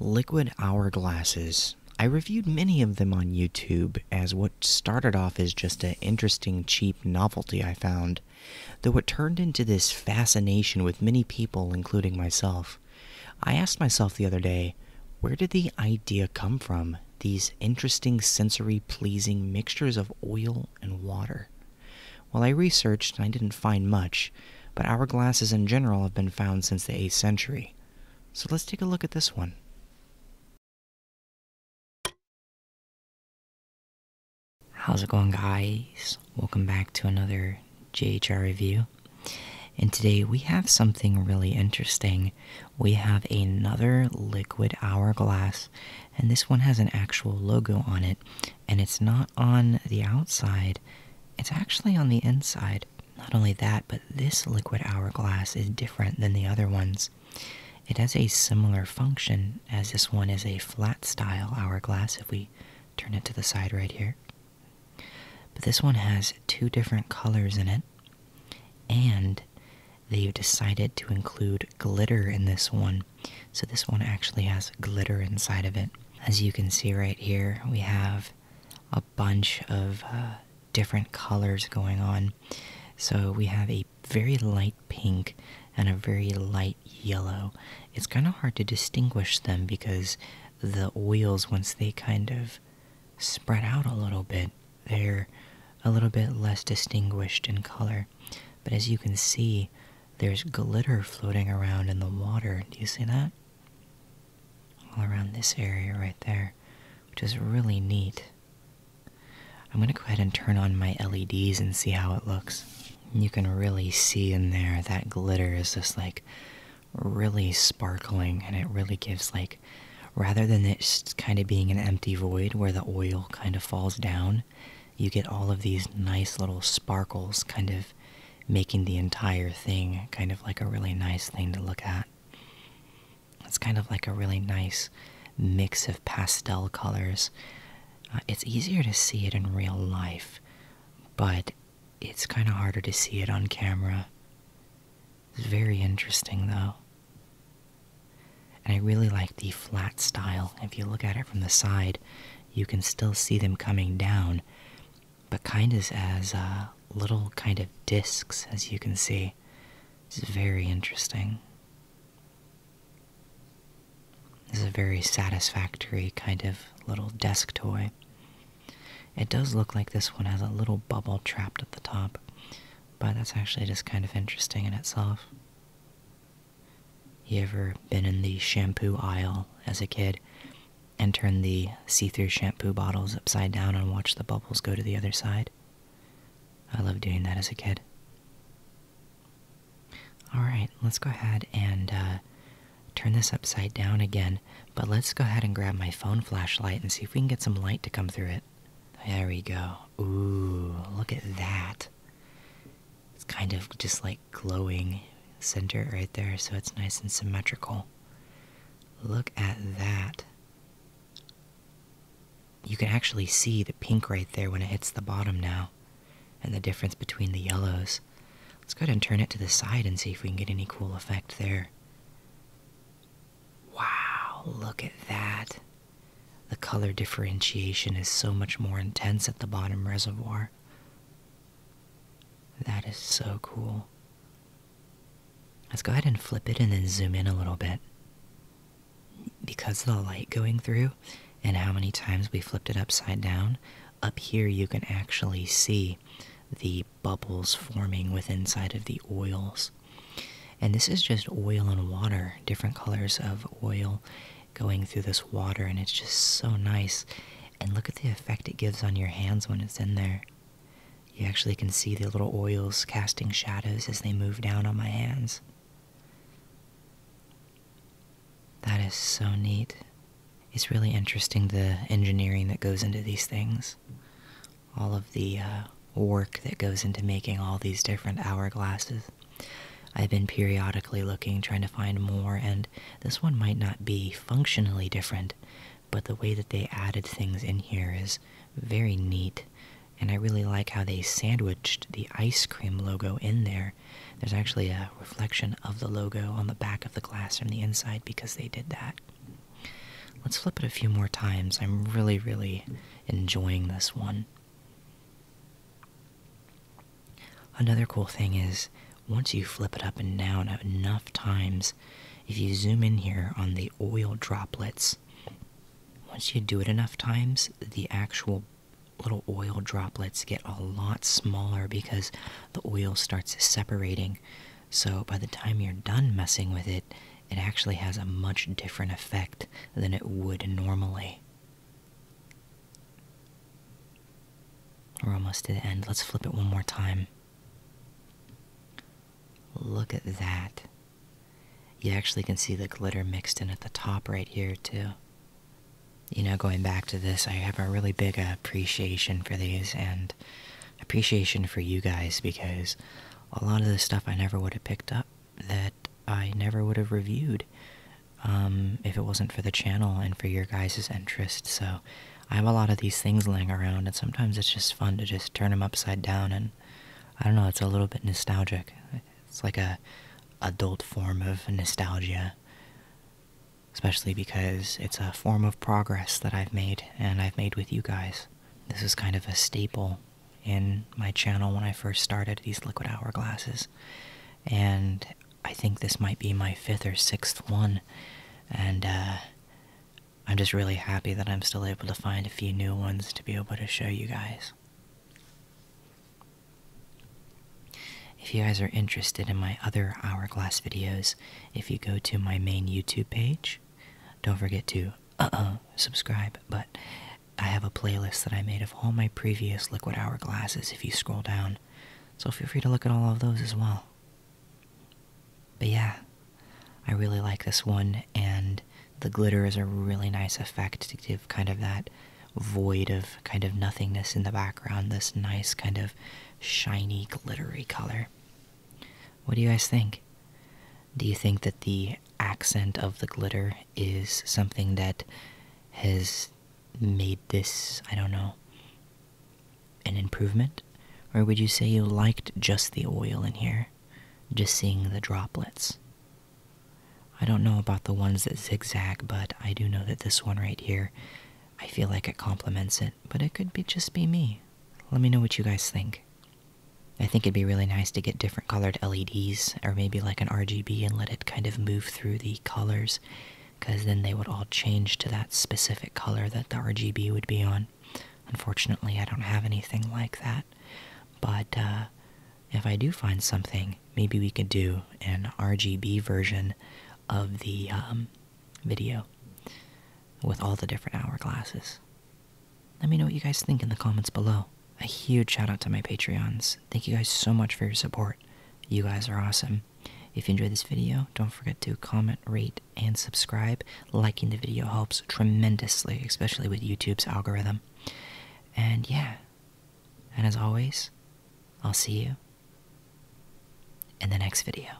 Liquid hourglasses. I reviewed many of them on YouTube as what started off as just an interesting, cheap novelty I found, though it turned into this fascination with many people, including myself. I asked myself the other day, where did the idea come from? These interesting, sensory pleasing mixtures of oil and water. While I researched I didn't find much age, but hourglasses in general have been found since the 8th century. So let's take a look at this one. How's it going guys? Welcome back to another JHR review. And today we have something really interesting. We have another liquid hourglass, and this one has an actual logo on it, and it's not on the outside, it's actually on the inside. Not only that, but this liquid hourglass is different than the other ones. It has a similar function, as this one is a flat style hourglass if we turn it to the side right here. But this one has two different colors in it, and they've decided to include glitter in this one. So this one actually has glitter inside of it. As you can see right here, we have a bunch of uh, different colors going on. So we have a very light pink and a very light yellow. It's kind of hard to distinguish them because the oils, once they kind of spread out a little bit, they're a little bit less distinguished in color. But as you can see, there's glitter floating around in the water. Do you see that? all around this area right there, which is really neat. I'm going to go ahead and turn on my LEDs and see how it looks. You can really see in there that glitter is just like really sparkling and it really gives like rather than it kind of being an empty void where the oil kind of falls down, you get all of these nice little sparkles kind of making the entire thing kind of like a really nice thing to look at. It's kind of like a really nice mix of pastel colors. Uh, it's easier to see it in real life, but it's kind of harder to see it on camera. It's very interesting though. And I really like the flat style. If you look at it from the side, you can still see them coming down, but kind of as uh, little kind of discs, as you can see. it's very interesting. This is a very satisfactory kind of little desk toy. It does look like this one has a little bubble trapped at the top, but that's actually just kind of interesting in itself. You ever been in the shampoo aisle as a kid and turn the see through shampoo bottles upside down and watch the bubbles go to the other side. I loved doing that as a kid. Alright, let's go ahead and uh, turn this upside down again, but let's go ahead and grab my phone flashlight and see if we can get some light to come through it. There we go. Ooh, look at that. It's kind of just like glowing center right there, so it's nice and symmetrical. Look at that. You can actually see the pink right there when it hits the bottom now, and the difference between the yellows. Let's go ahead and turn it to the side and see if we can get any cool effect there. Wow, look at that. The color differentiation is so much more intense at the bottom reservoir. That is so cool. Let's go ahead and flip it and then zoom in a little bit. Because of the light going through and how many times we flipped it upside down, up here you can actually see the bubbles forming within side of the oils. And this is just oil and water, different colors of oil going through this water, and it's just so nice and look at the effect it gives on your hands when it's in there. You actually can see the little oils casting shadows as they move down on my hands. That is so neat. It's really interesting the engineering that goes into these things. All of the uh, work that goes into making all these different hourglasses. I've been periodically looking, trying to find more and this one might not be functionally different, but the way that they added things in here is very neat. And I really like how they sandwiched the ice cream logo in there. There's actually a reflection of the logo on the back of the glass from the inside because they did that. Let's flip it a few more times. I'm really, really enjoying this one. Another cool thing is once you flip it up and down enough times, if you zoom in here on the oil droplets, once you do it enough times, the actual little oil droplets get a lot smaller because the oil starts separating. So by the time you're done messing with it, it actually has a much different effect than it would normally. We're almost to the end. Let's flip it one more time. Look at that. You actually can see the glitter mixed in at the top right here, too. You know, going back to this, I have a really big appreciation for these and appreciation for you guys because a lot of the stuff I never would have picked up that I never would have reviewed um, if it wasn't for the channel and for your guys' interest. So I have a lot of these things laying around, and sometimes it's just fun to just turn them upside down. And I don't know, it's a little bit nostalgic. It's like a adult form of nostalgia, especially because it's a form of progress that I've made, and I've made with you guys. This is kind of a staple in my channel when I first started these liquid hourglasses, and I think this might be my fifth or sixth one, and uh, I'm just really happy that I'm still able to find a few new ones to be able to show you guys. If you guys are interested in my other hourglass videos, if you go to my main YouTube page, don't forget to uh uh subscribe. But I have a playlist that I made of all my previous liquid hourglasses if you scroll down. So feel free to look at all of those as well. But yeah, I really like this one, and the glitter is a really nice effect to give kind of that void of kind of nothingness in the background, this nice kind of shiny, glittery color. What do you guys think? Do you think that the accent of the glitter is something that has made this, I don't know, an improvement? Or would you say you liked just the oil in here, just seeing the droplets? I don't know about the ones that zigzag, but I do know that this one right here, I feel like it complements it, but it could be just be me. Let me know what you guys think. I think it'd be really nice to get different colored LEDs, or maybe like an RGB and let it kind of move through the colors because then they would all change to that specific color that the RGB would be on. Unfortunately, I don't have anything like that, but uh, if I do find something, maybe we could do an RGB version of the um, video with all the different hourglasses. Let me know what you guys think in the comments below. A huge shout out to my Patreons. Thank you guys so much for your support. You guys are awesome. If you enjoyed this video, don't forget to comment, rate, and subscribe. Liking the video helps tremendously, especially with YouTube's algorithm. And yeah, and as always, I'll see you in the next video.